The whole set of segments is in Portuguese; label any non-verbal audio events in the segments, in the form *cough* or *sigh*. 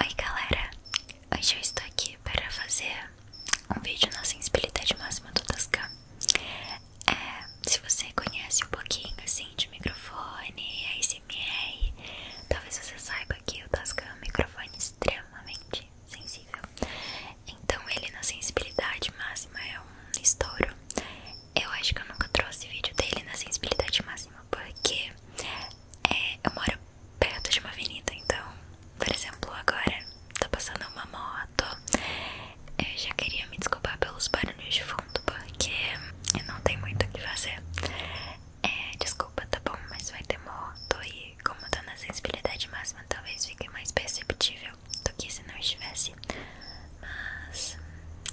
Oi galera, hoje eu estou aqui para fazer um vídeo na sensibilidade máxima do Tascam é, Se você conhece um pouquinho assim de microfone, ASMR, talvez você saiba que o Tascam é um microfone extremamente sensível então ele na sensibilidade máxima é um estouro. Eu acho que eu nunca trouxe vídeo dele na sensibilidade máxima porque é, eu moro perto de uma avenida. Então, por exemplo, agora tô tá passando uma moto. Eu já queria me desculpar pelos barulhos de fundo porque eu não tenho muito o que fazer. É, desculpa, tá bom, mas vai ter moto e como eu na sensibilidade máxima, talvez fique mais perceptível incrível do que se não estivesse. Mas,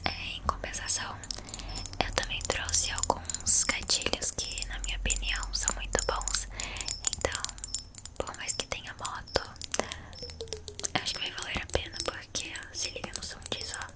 é, em compensação, eu também trouxe alguns gatilhos que, na minha opinião, são muito bons. Então, por mais que tenha moto, eu acho que vai valer a pena porque se liga no som disso, ó.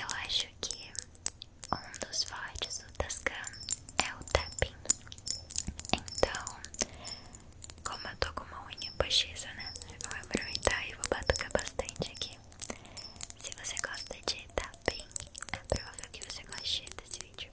Eu acho que um dos fortes do Tascam é o tapping. Então, como eu tô com uma unha postiça, né? Eu vou aproveitar e vou batucar bastante aqui. Se você gosta de tapping, é provável que você goste desse vídeo.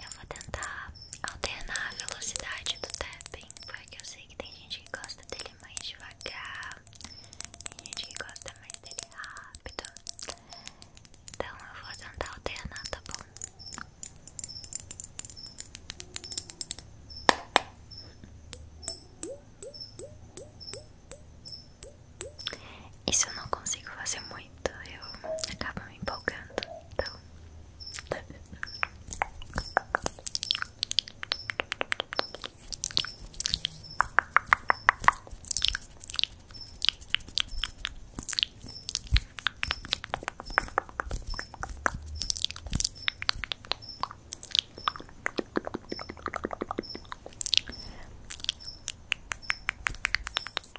Eu vou tentar alternar a velocidade do tapping, porque eu sei que tem gente que gosta dele mais devagar, tem gente que gosta mais dele rápido. Então eu vou tentar alternar, tá bom? Isso eu não consigo fazer muito, eu acaba me empolgando. Então.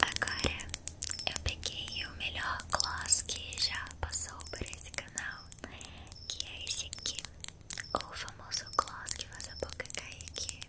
Agora eu peguei o melhor gloss que já passou por esse canal, que é esse aqui, o famoso gloss que faz a boca cair, que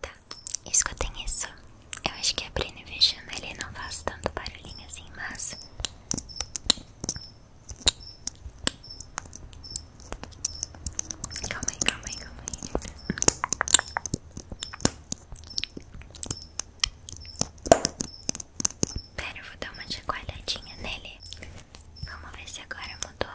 Tá, escutem isso. Eu acho que abrindo e fechando ele não faz tanto barulhinho assim, mas. Calma aí, calma aí, calma aí. Pera, eu vou dar uma chacoalhadinha nele. Vamos ver se agora mudou.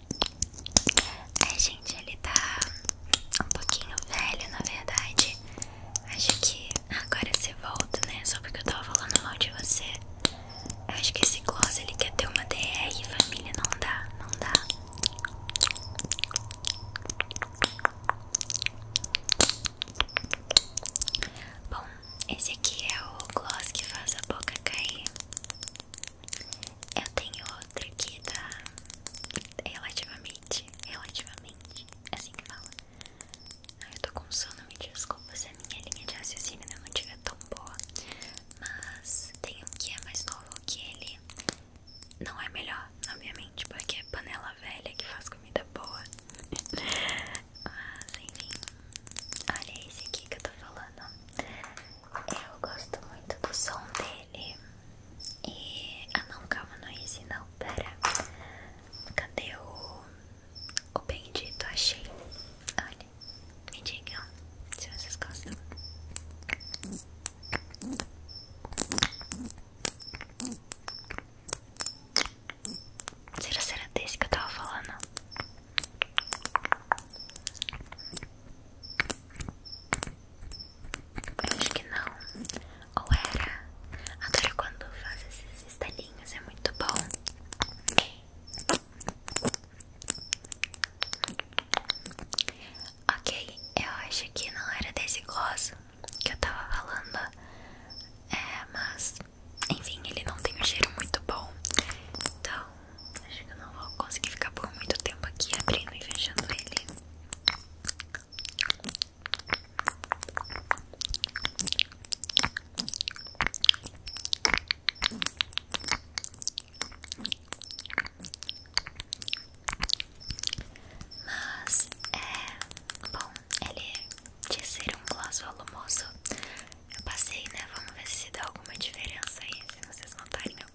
É, gente, ele tá um pouquinho velho, na verdade. Acho que agora você volta, né? Só porque eu tava falando mal de você. acho que esse gloss ele quer ter uma DR, família. Não dá, não dá. Bom, esse aqui é o gloss que faz a boca cair. Eu tenho outro aqui da Relativamente Relativamente É assim que fala Eu tô com sono, me desculpa se a minha linha de raciocínio não estiver tão boa Mas tem um que é mais novo que ele Não é melhor, obviamente Porque é panela velha que faz comida boa *laughs* Mas enfim Olha esse aqui que eu tô falando eu gosto muito do som dele. E. Ah, não, calma, não é não. Pera. Cadê o. O bendito? Achei. Olha, me digam se vocês gostam. Será será desse que eu tava falando? eu Acho que não. Ou era? Agora quando faz esses estalinhos é muito bom. Ok, eu acho que não era desse gloss que eu tava falando. É, mas enfim, ele não tem um cheiro muito bom. Então Acho que eu não vou conseguir ficar por muito tempo aqui abrindo e fechando ele. Mas é bom, ele de ser um gloss volumoso. Eu passei, né? Vamos ver se dá alguma diferença aí. Se vocês notarem, eu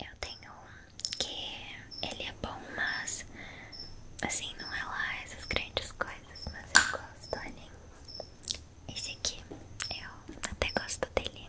Eu tenho um que ele é bom, mas assim não é lá essas grandes coisas, mas eu gosto, olhem. Esse aqui, eu até gosto dele.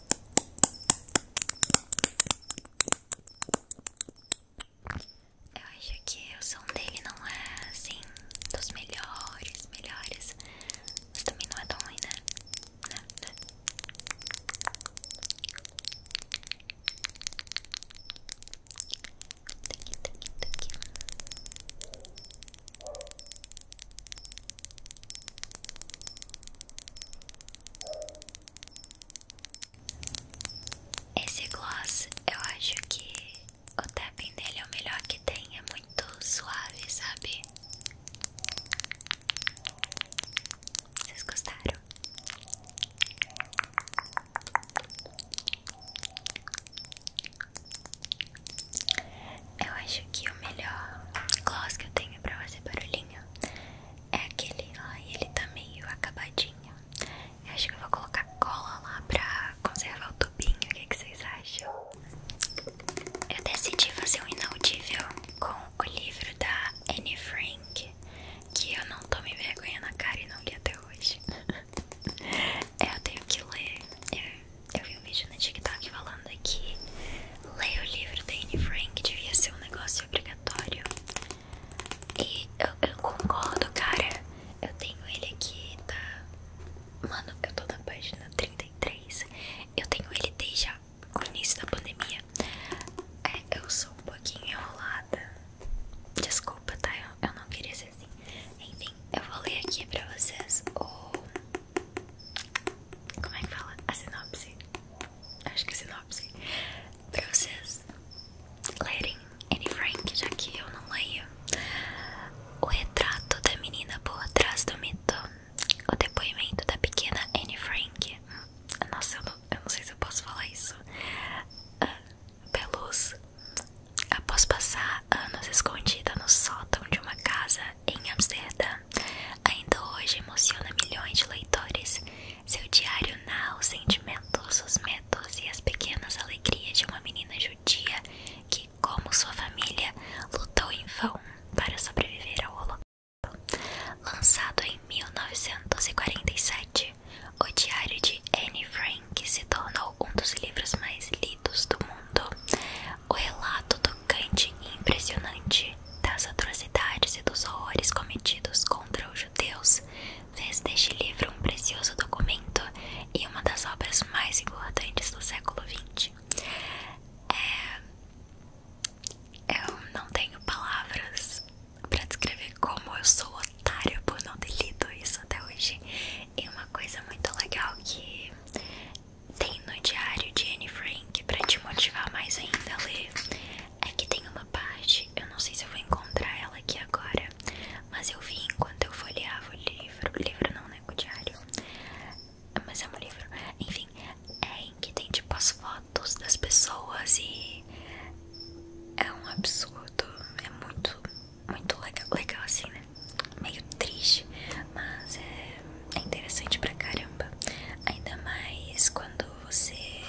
Eu acho que o som dele não é assim dos melhores, melhores, mas também não é tão né? né? Esse gloss eu acho que o tapping dele é o melhor que tem, é muito suave, sabe? Vocês gostaram? Eu acho que o melhor gloss que eu tenho pra fazer barulhinho é aquele. lá e ele tá meio acabadinho. Eu acho que eu vou colocar cola lá pra conservar o tubinho. O que, vocês acham? Eu decidi fazer um inaudível com o livro da Anne Frank, que eu não tô me vergonha na cara e não li até hoje. *laughs* eu tenho que ler. Eu vi um vídeo no TikTok falando que ler o livro da Anne Frank devia ser um negócio obrigatório. E eu, concordo, cara. Eu tenho ele aqui tá Mano, eu tô na página 33. Eu tenho ele desde o início da pandemia. É, eu sou um pouquinho enrolada. Desculpa, tá? Eu, eu não queria ser assim. Enfim, eu vou ler aqui pra vocês o como é que fala? A sinopse. Acho que é sinopse. Pra vocês lerem Anne Frank, já que eu não leio. O retrato da menina boa atrás do mito. O depoimento da pequena Anne Frank. Nossa, eu não, sei se eu posso falar isso. Uh, Após passar anos escondida no sótão de uma casa em Amsterdã, ainda hoje emociona milhões de leitores. Seu diário narra os sentimentos, os medos e as pequenas alegrias de uma menina judia que, como sua família, lutou em vão para sobreviver ao Holocausto. Lançado em 1947, o diário de Anne Frank se tornou um dos livros mais lidos do mundo o relato tocante e impressionante das atrocidades e dos horrores cometidos contra os judeus fez deste livro um precioso documento e uma das obras mais importantes do século XX. É... Eu não tenho palavras para descrever como eu sou otário por não ter lido isso até hoje. E uma coisa muito legal que tem no diário de Anne Frank para te motivar mais ainda a ler. É que tem uma parte, eu não sei se eu vou encontrar ela aqui agora, mas eu vi enquanto eu folheava o livro, o livro não, né, o diário, mas é um livro, enfim, é em que tem tipo as fotos das pessoas e é um absurdo, é muito, muito legal, legal assim, né, meio triste, mas é é interessante pra caramba. Ainda mais quando você.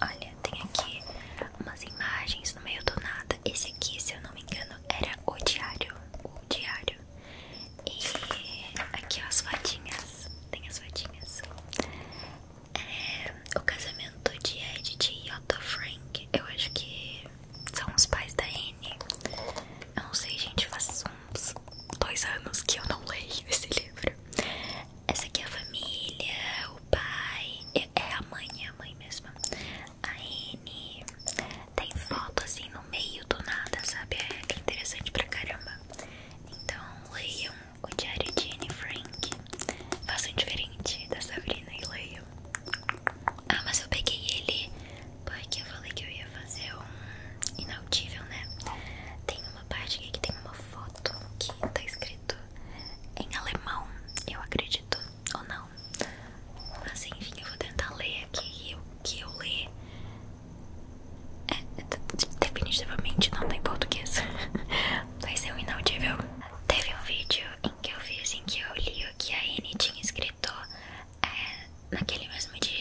Olha, tem aqui umas imagens no meio do nada. Esse aqui, se eu não me engano, era o diário. O diário. E aqui ó, as fotinhas. Tem as fotinhas. É, o casamento de Edith e Otto Frank. Eu acho que são os pais da Anne. Eu não sei, gente, faz uns dois anos que eu não leio esse livro. Essa aqui é a família, o pai, é, é a mãe, é a mãe mesma. A Anne tem foto assim no meio do nada, sabe? É, é interessante pra caramba. Então leiam o Diário de Anne Frank. Façam diferente da Sabrina e leiam. Ah, mas eu peguei ele que eu falei que eu ia fazer um inaudível, né? Tem uma parte aqui que tem uma foto que tá escrito em alemão, eu acredito, ou não. Mas enfim, eu vou tentar ler aqui e o que eu ler é, definitivamente não tá em português. *laughs* Vai ser um inaudível. Teve um vídeo em que eu vi assim que eu li o que a Anne tinha escrito é, naquele mesmo dia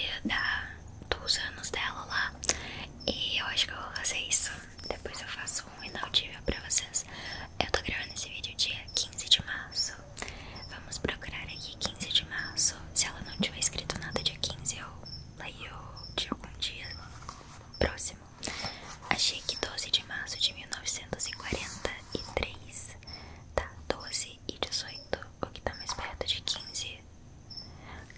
dos anos dela lá. E eu acho que eu vou fazer isso. Depois eu faço um inaudível pra vocês. Eu tô gravando esse vídeo dia 15 de março. Vamos procurar aqui 15 de março. Se ela não tiver escrito nada dia 15, eu aí eu de algum dia próximo. Achei que 12 de março de 1943. Tá, 12 e 18. O que tá mais perto de 15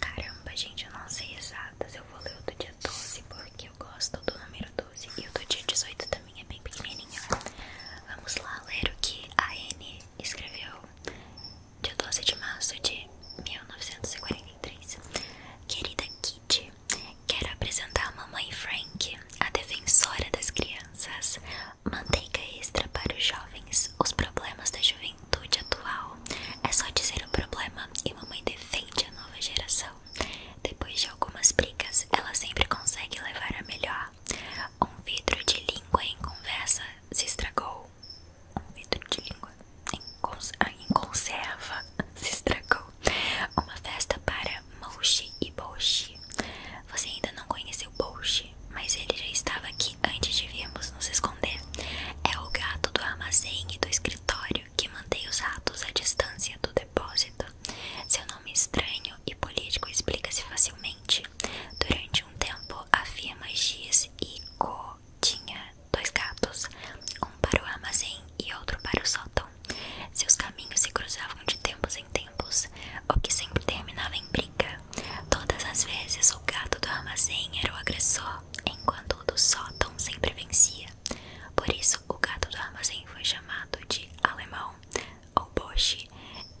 Caramba, gente, eu não sei exatas. Eu vou ler o do dia 12 porque eu gosto do número 12. E o do dia 18 também é bem pequenininho. Vamos lá ler o que a Anne escreveu dia 12 de março de 1943. Querida Kitty, quero apresentar a mamãe Frank, a defensora das crianças. Manteiga extra para os jovens. Os problemas da juventude atual. É só dizer o problema e mamãe defende a nova geração. Depois de algumas brigas, ela sempre consegue levar a melhor. Um vidro de língua em conversa se estragou. Um vidro de língua em, cons ah, em conserva se estragou. Uma festa para Mouchi e Bolshi. Você ainda não conheceu Bolsh? mas ele já estava aqui antes de virmos nos esconder. É o gato do armazém e do escritório que mantém os ratos à distância do depósito. Seu nome estranho e político explica-se facilmente. Durante um tempo, a firma X e Co tinha dois gatos, um para o armazém e outro para o sótão. Seus caminhos se cruzavam de tempos em tempos, o que sempre terminava em briga. Todas as vezes o gato do armazém era o agressor, enquanto o do sótão sempre vencia. Por isso, o gato do armazém foi chamado de alemão, ou Bosch,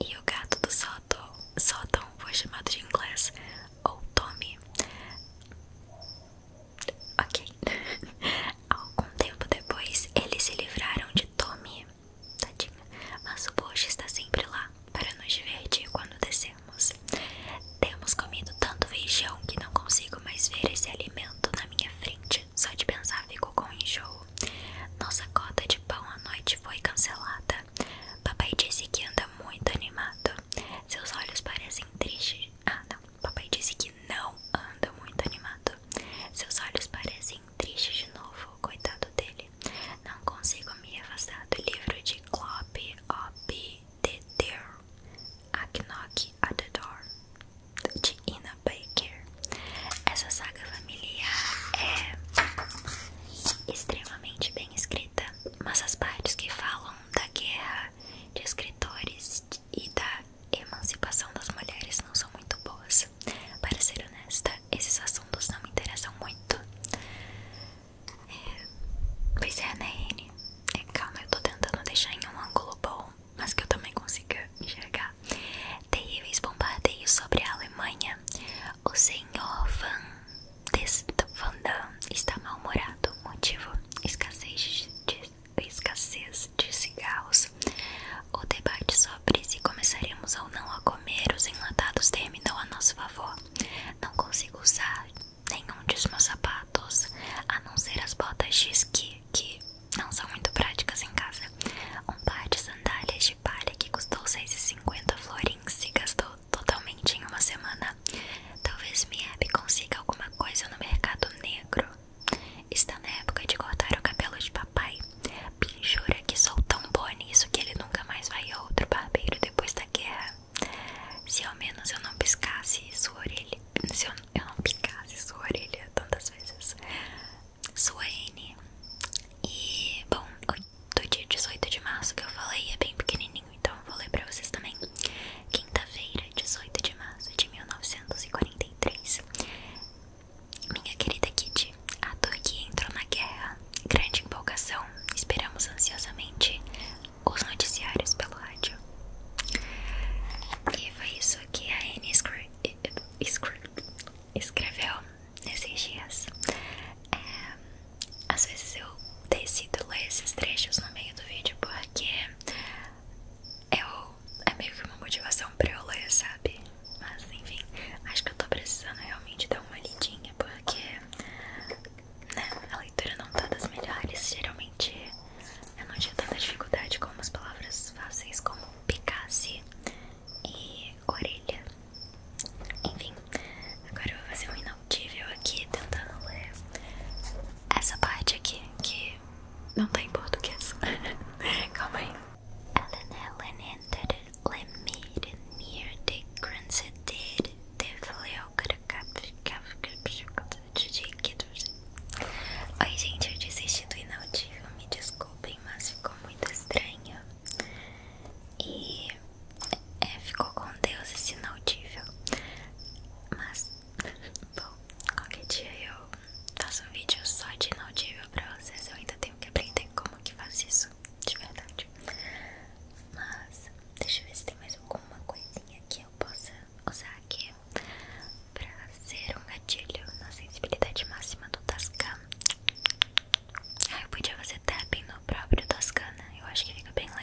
e o gato do sótão, sótão foi chamado de inglês, ou Tommy. Ok. *laughs* Algum tempo depois, eles se livraram de Tommy, tadinha, mas o Bosch está sempre lá para nos divertir quando descemos. Temos comido tanto feijão que não consigo mais ver esse alimento na minha frente. Só de pensar fico com enjoo. Nossa cota de pão à noite foi cancelada. Papai disse que anda muito animado. Seus olhos parecem tristes. Ah, não. Papai disse que não anda muito animado. Seus olhos parecem tristes de novo coitado dele. Não consigo me afastar do livro de Clope Op The Door, A Knock at the Door, de Ina Baker. Essa saga familiar é extremamente bem escrita, mas as partes que falam da guerra de escritores e da emancipação das mulheres não são muito boas. Para ser honesta, esses assuntos não me interessam muito. É, pois é, né, N? É, calma, eu tô tentando deixar em um ângulo bom, mas que eu também consiga enxergar. Terríveis bombardeio sobre a Alemanha. O senhor Van, Des, Damme está mal-humorado. Motivo: escassez de, escassez de cigarros. O debate sobre se começaremos ou não a comer os enlatados terminou a nosso favor. Não consigo usar nenhum dos meus sapatos, a não ser as botas de esqui, que não são muito práticas em casa. Um par de sandálias de palha que custou 6,50 florins se gastou totalmente em uma semana. Talvez minha Miebe consiga alguma coisa no mercado negro. Está na época de cortar o cabelo de papai, pinchar que sou tão bonito nisso que ele nunca mais vai a outro barbeiro depois da guerra? Se ao menos eu não piscasse sua orelha. Se eu, não piscasse sua orelha tantas vezes. Sua N. E, bom, do dia 18 de março que eu falei é bem pequenininho, então vou ler pra vocês também. Quinta-feira, 18 de março de 1943. Minha querida Kitty noite, a Turquia entrou na guerra. Grande empolgação. Esperamos ansiosamente os noticiários pelo rádio. E foi isso que a Anne escre escreveu nesses dias. É, às vezes eu decido ler esses trechos no meio do vídeo porque eu, é meio que uma motivação pra eu ler, sabe? Mas enfim, acho que eu tô precisando realmente dar uma lidinha, porque né, a leitura não tá das melhores. Geralmente eu não tinha tanta dificuldade como as palavras fáceis como Picasse e orelha. Enfim, agora eu vou fazer um inaudível aqui tentando ler essa parte aqui que não tá em português. *laughs* Calma aí. É, né, é Lemire, near the grand city, the Oi, gente, eu desisti do inaudível, me desculpem, mas ficou muito estranho. E ficou com Deus esse inaudível. Mas, bom, qualquer dia eu faço um vídeo só de inaudível pra vocês. Eu ainda tenho que aprender como que faz isso de verdade. Mas deixa eu ver se tem mais alguma coisinha que eu possa usar aqui pra ser um gatilho na sensibilidade máxima do Tascam. Ah, eu podia fazer tapping no próprio Toscana, né? eu acho que fica bem legal.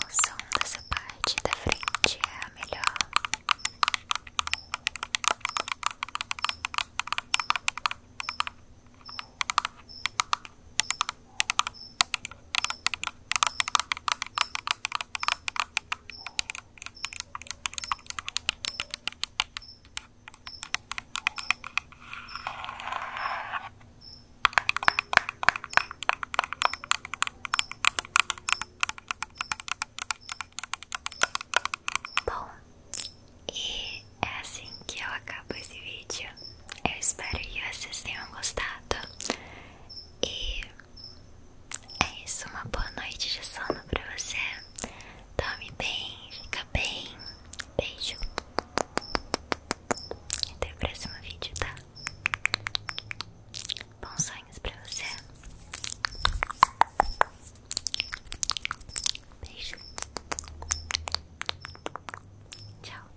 O som dessa parte da frente é a melhor. Bom, e é assim que eu acabo esse vídeo. Eu espero que vocês tenham gostado. E é isso, uma boa noite de sono pra você. Dorme bem, fica bem. Beijo. Até o próximo vídeo, tá? Bons sonhos pra você. Beijo. Tchau.